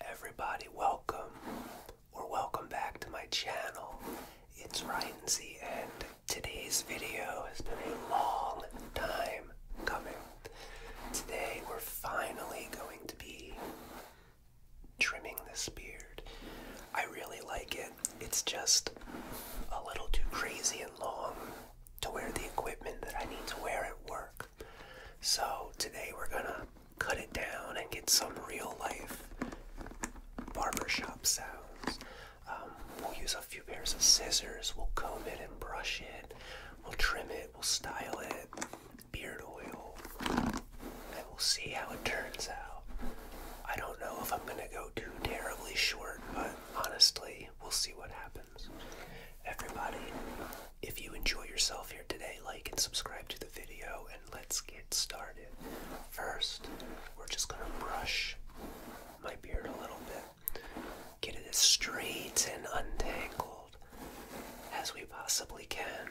Everybody, welcome or welcome back to my channel. It's Ryancy, and today's video has been a long time coming. Today, we're finally going to be trimming this beard. I really like it, it's just a little too crazy and long to wear the equipment that I need to wear at work. So today we're gonna cut it down and get some real life barbershop sounds. Um, we'll use a few pairs of scissors, we'll comb it and brush it, we'll trim it, we'll style it, beard oil, and we'll see how it turns out. I don't know if I'm gonna go too terribly short, but honestly, we'll see what happens. Everybody, if you enjoy yourself here today, like and subscribe to the video, and let's get started. First, we're just gonna brush my beard a little bit, get it as straight and untangled as we possibly can.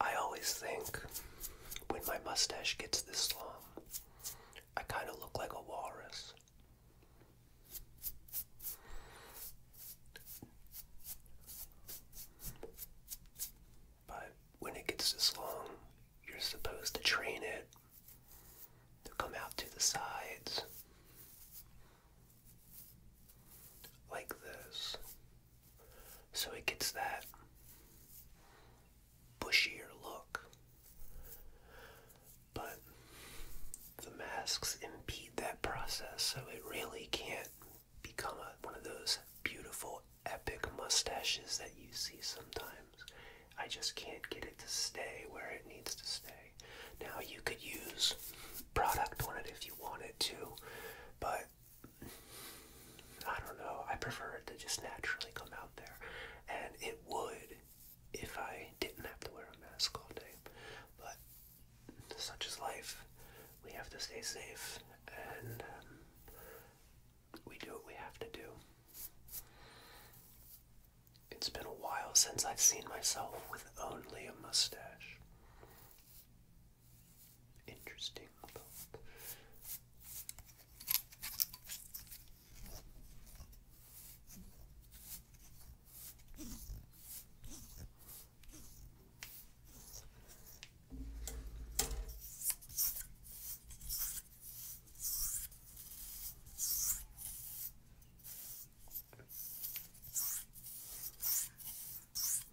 I always think when my mustache gets this long, I kind of look like a walrus. But when it gets this long, you're supposed to train it to come out to the sides like this. So it gets that bushier look. But the masks impede that process, so it really can't become one of those beautiful, epic mustaches that you see sometimes. I just can't get it to stay where it needs to stay. Now, you could use product on it if you wanted to, but I don't know. I prefer it to just naturally come out there, and it would if I didn't have to wear a mask all day. But such is life. We have to stay safe, and um, we do what we have to do. It's been a while since I've seen myself with only a mustache interesting book.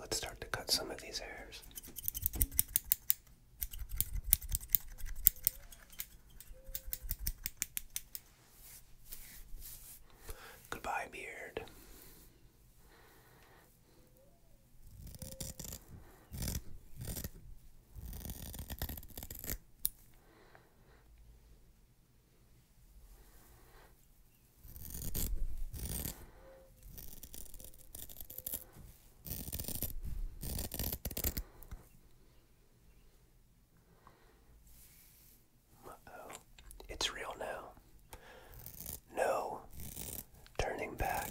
Let's start to cut some of these hairs. Goodbye, beard oh It's real now. No turning back.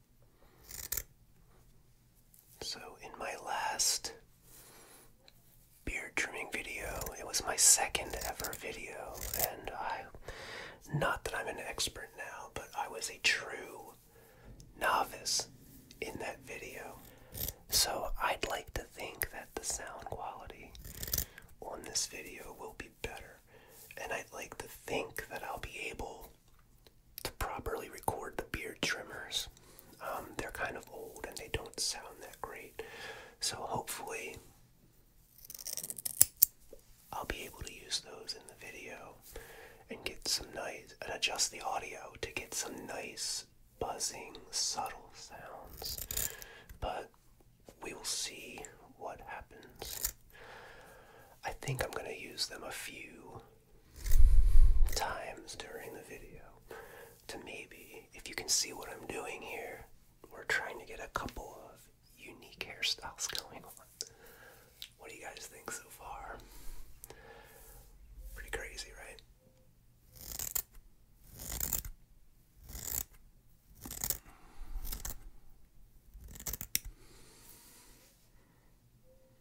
So, in my last beard trimming video, it was my second ever video, and I. Not that I'm an expert now, but I was a true novice in that video. So, I'd like to think that the sound quality on this video will be better, and I'd like to think that I'll be able to properly record the beard trimmers. Um, they're kind of old and they don't sound that great. So hopefully I'll be able to use those in the video and get some nice and adjust the audio to get some nice buzzing subtle sounds. But we will see what happens. I think I'm going to use them a few times during the video to maybe, if you can see what I'm doing here, we're trying to get a couple of unique hairstyles going on. What do you guys think so far? Pretty crazy, right?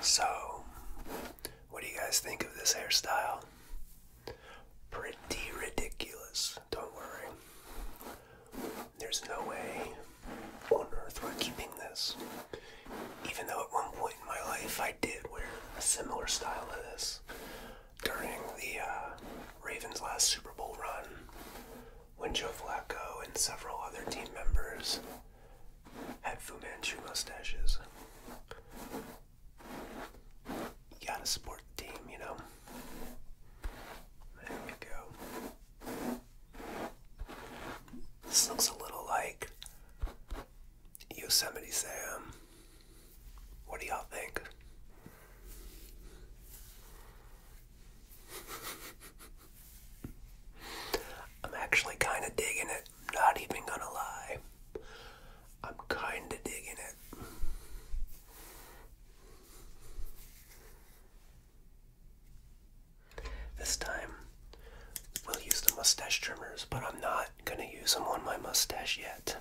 So, what do you guys think of this hairstyle? Pretty ridiculous, don't worry. There's no way on earth we're keeping this. Even though at one point in my life I did wear a similar style to this during the uh, Ravens' last Super Bowl run when Joe Flacco and several other team members had Fu Manchu mustaches. You gotta support the team, you know? There we go. This looks a little like Yosemite Sam what do y'all think? I'm actually kind of digging it. Not even gonna lie. I'm kind of digging it. This time, we'll use the mustache trimmers, but I'm not gonna use them on my mustache yet.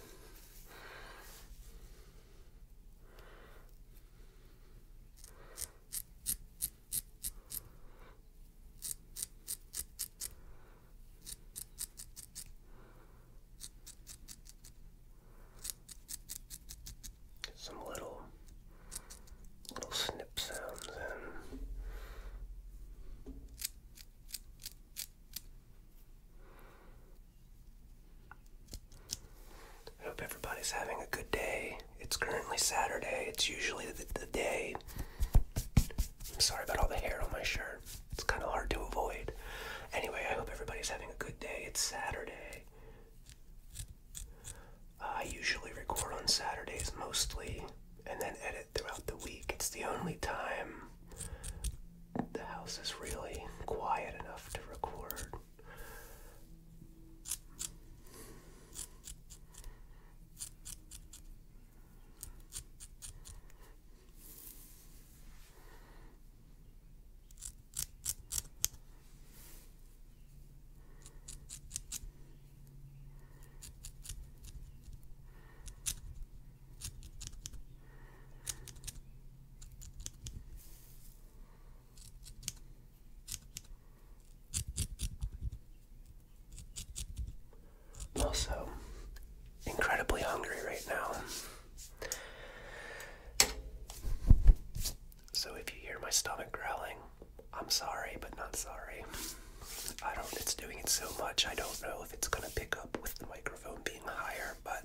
Some little little snip sounds in. I hope everybody's having a good day. It's currently Saturday. It's usually the, day. I'm sorry about all the hair on my shirt. It's kind of hard to avoid. Anyway, I hope everybody's having a good day. It's Saturday. I usually record on Saturdays mostly and then edit throughout the week. It's the only time the house is really quiet enough to record also incredibly hungry right now. So if you hear my stomach growling, I'm sorry, but not sorry. I don't, it's doing it so much, I don't know if it's gonna pick up with the microphone microphone being higher, but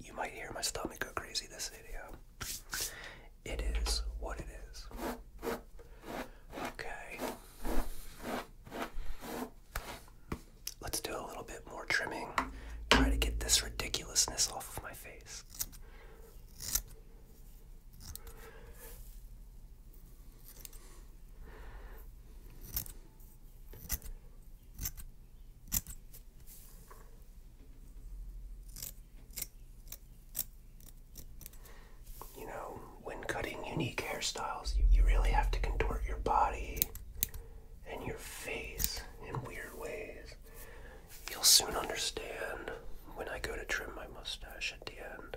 you might hear my stomach go crazy this video. It is what it is. Okay. Let's do a little bit more trimming. Try to get this ridiculousness off of my face. You know, when cutting unique hairstyles, you, you really have to contort your body and your face in weird ways. You'll soon understand when I go to trim my mustache at the end.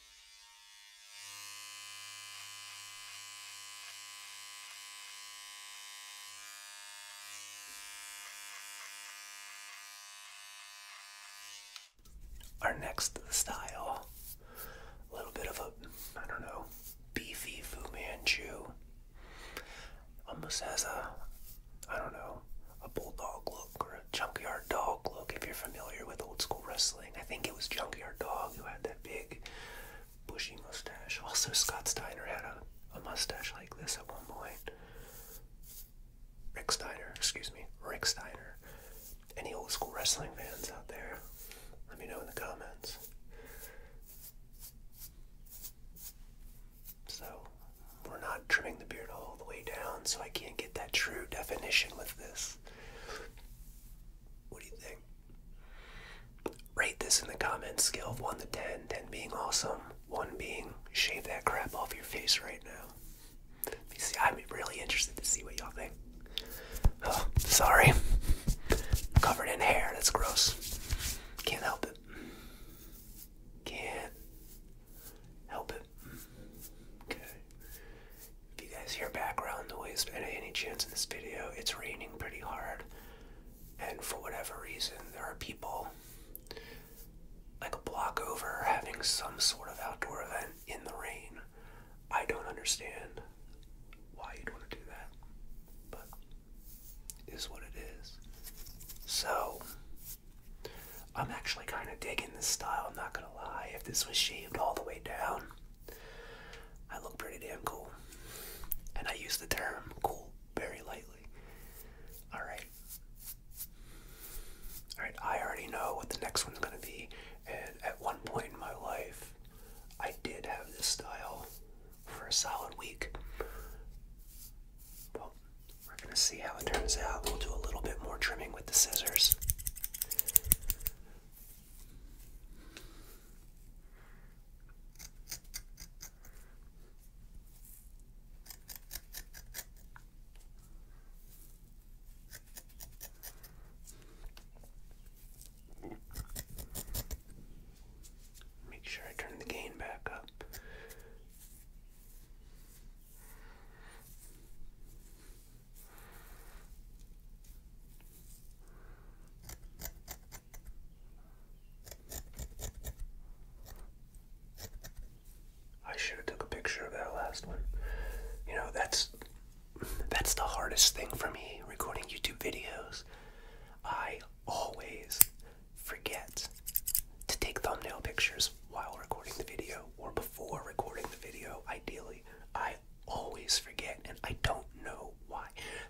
Our next style, a little bit of a, I don't know, beefy Fu Manchu. Almost has a, I don't know, a bulldog look or a junkyard dog look if you're familiar with old school wrestling. I think it was Junkyard Dog who had that big bushy mustache. Also, Scott Steiner had a, a mustache like this at one point. Rick Steiner, excuse me, Rick Steiner. Any old school wrestling fans out there? Let me know in the comments. So, we're not trimming the beard all the way down, so I can't get that true definition with this. What do you think? Rate this in the comments, scale of 1 to 10, 10 being awesome, 1 being shave that crap off your face right now. see, I'm really interested to see what y'all think. sorry. covered in hair, that's gross. Can't help it. Can't help it. Okay. If you guys hear background noise any chance in this video, it's raining pretty hard. And for whatever reason, there are people like a block over having some sort of outdoor event in the rain. I don't understand why you'd want to do that, but is what it is. So, I'm actually kind of digging this style. I'm not lie, if this was shaved all the way down, I look pretty damn cool. And I use the term cool very lightly. Alright. Alright, I already know what the next one's gonna be, and at one point in my life, I did have this style for a solid week. Well, we're gonna see how it turns out. We'll do a little bit more trimming with the scissors. Make sure I turn the gain back up. I should have took a picture of that last one. You know, that's that's the hardest thing for me recording YouTube videos. I always forget to take thumbnail pictures while recording the video or before recording the video. ideally. I always forget and I don't know why.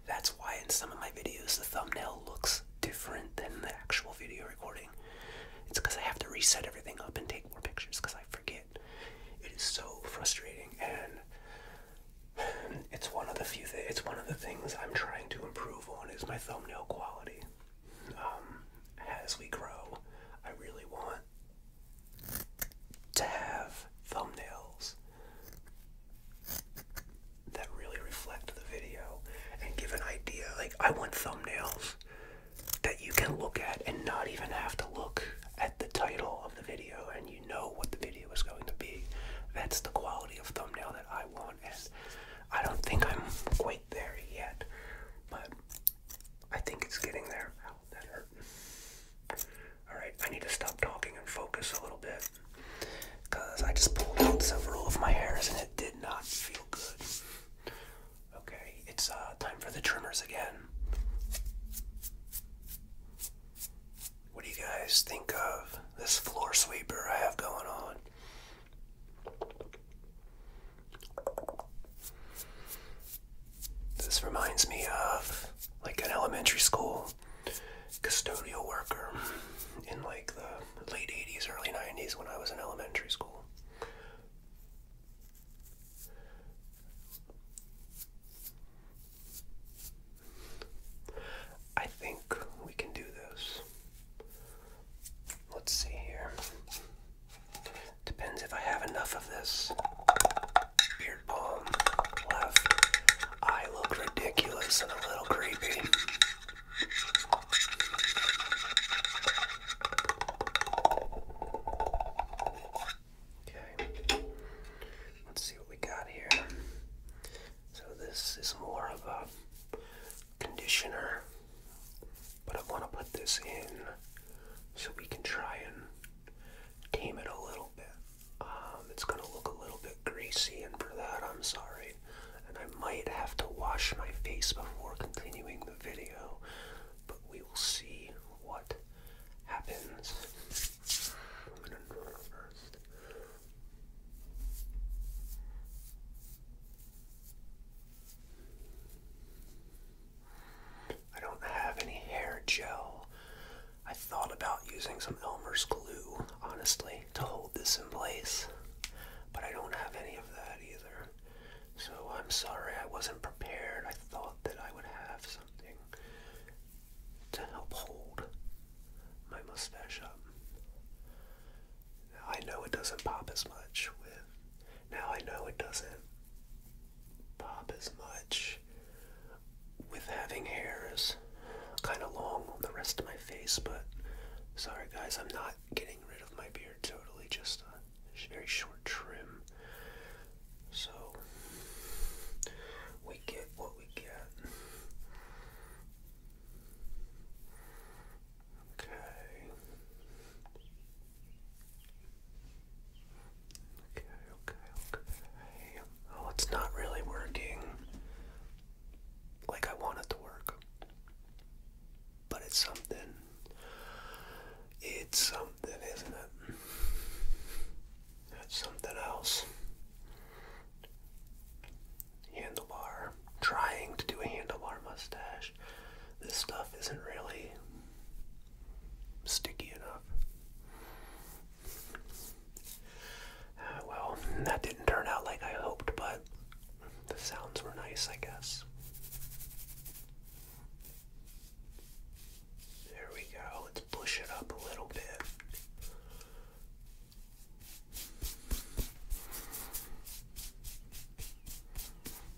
That's why in some of my videos the thumbnail looks different than the actual video recording. It's because I have to reset everything up and take more pictures because I forget. It is so frustrating and it's one of the few th it's one of the things I'm trying to improve on is my thumbnail quality. Um, as we grow, I really want to have thumbnails that really reflect the video and give an idea. Like, I want thumbnails that you can look at and not even have to look at the title of the video and you know what the video is going to be. That's the quality of thumbnail that I want, and I don't think I'm quite there yet. But I think it's getting there. that hurt. Alright, I need to stop talking and focus a little bit. Because I just pulled out several of my hairs and it did not feel good. Okay, it's uh, time for the trimmers again. What do you guys think of this floor sweeper I have going on? This reminds me of like an elementary school custodial worker in like the late 80s, early 90s when I was in elementary school. I think we can do this. Let's see here. Depends if I have enough of this beard balm I look ridiculous and a little creepy. Okay, let's see what we got here. So, this is more of a conditioner. But I want to put this in so we can try and tame it a little bit. Um, it's going to look a little bit greasy, and for that, I'm sorry. And I might have to wash my face before continuing the video, but we will see what happens. I'm going to draw first. I don't have any hair gel. I thought about using some Elmer's glue, honestly, to hold this in place, but I don't have any of that either. So I'm sorry I wasn't prepared. I thought that I would have something to help hold my mustache up. I know it doesn't pop as much with now I know it doesn't pop as much with having hairs kind of long on the rest of my face, but sorry guys, I'm not getting rid of my beard totally, just a very short trim. So we get what we get. Okay. Okay, okay, okay. Oh, it's not really working like I want it to work. But it's something. It's something, isn't it? That's something else. Handlebar. Trying to do a handlebar mustache this stuff isn't really sticky enough. Uh, well, that didn't turn out like I hoped, but the sounds were nice, I guess. There we go. Let's push it up a little bit.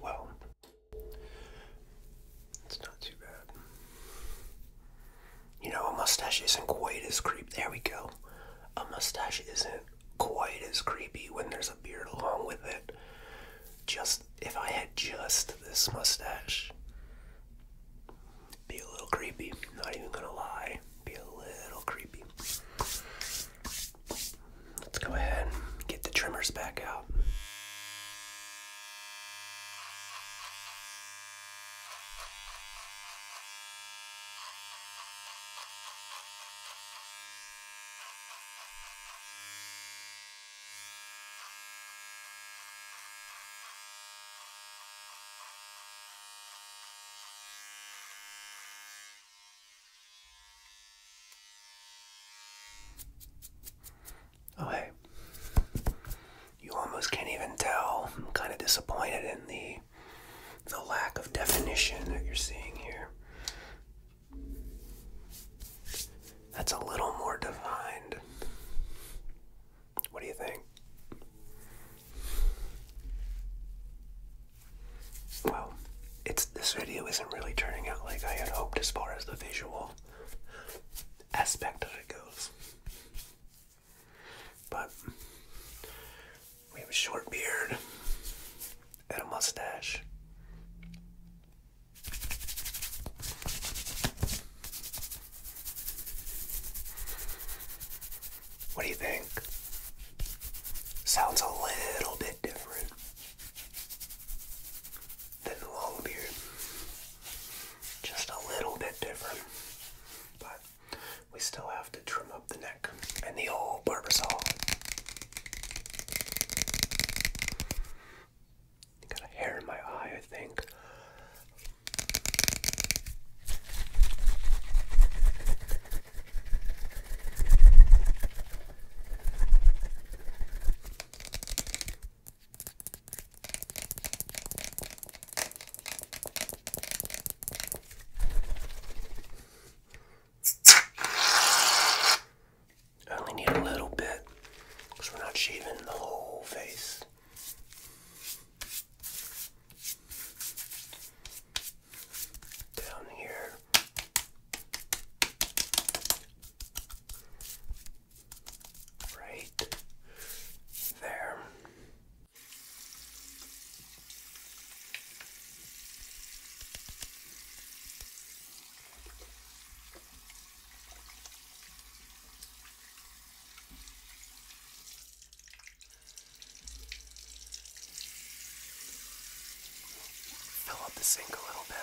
Well, it's not too bad. You know, a mustache isn't quite as creepy. There we go. A mustache isn't quite as creepy when there's a beard along with it. Just if I had just this mustache, be a little creepy. Not even gonna lie, be a little creepy. Let's go ahead and get the trimmers back out. Oh, You almost can't even tell. I'm kind of disappointed in the the lack of definition that you're seeing here. That's a little more defined. What do you think? Well, it's this video isn't really turning out like I had hoped as far as the visual aspect of it goes. But we have a short beard and a mustache. What do you think? Sounds a little bit different than the long beard. Just a little bit different. But we still have to trim up the neck and the old barbasol. Got a hair in my eye, I think. I only need a little bit because we're not shaving the whole face down here. Right there. Fill up the sink a little bit.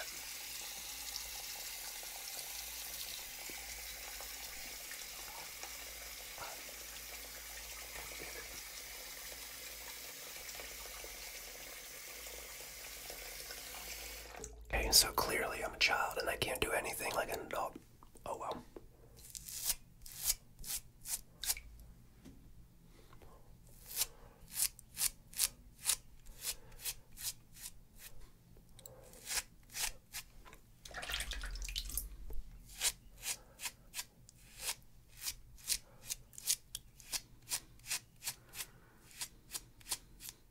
Okay, so clearly I'm a child and I can't do anything like an adult. Oh well.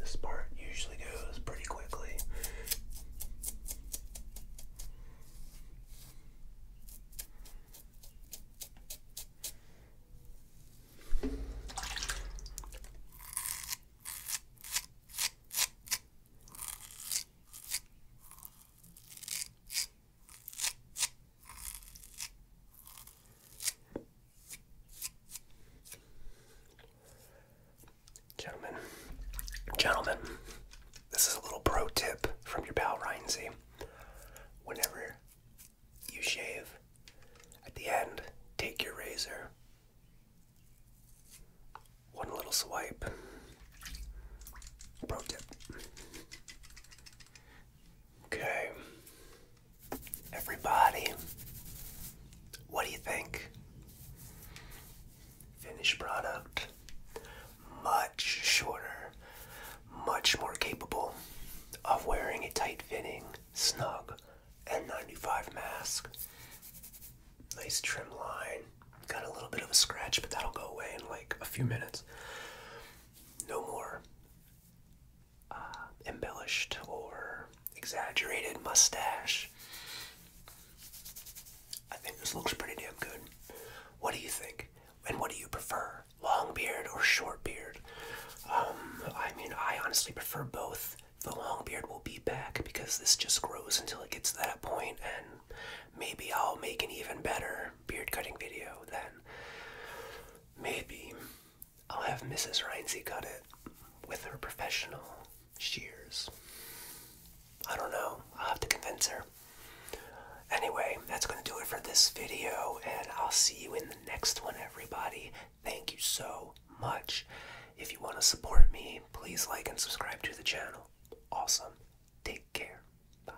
This part usually goes pretty quickly. Gentlemen, gentlemen, this is a little pro tip from your pal Rhinesy. Whenever you shave, at the end, take your razor. One little swipe. Pro tip. Okay. Everybody, what do you think? Finished product, much shorter, much more capable of wearing a tight fitting, snug N95 mask. Nice trim line, got a little bit of a scratch, but that'll go away in like a few minutes. No more uh, embellished or exaggerated mustache. I think this looks pretty damn good. What do you think? And what do you prefer? Long beard or short beard? Um, I mean, I honestly prefer both. The long beard will be back because this just grows until it gets to that point, and maybe I'll make an even better beard cutting video then. Maybe I'll have Mrs. Rhinesy cut it with her professional shears. I don't know. i have to convince her. Anyway, that's going to do it for this video, and I'll see you in the next one, everybody. Thank you so much. If you want to support me, please like and subscribe to the channel. Awesome. Take care. Bye.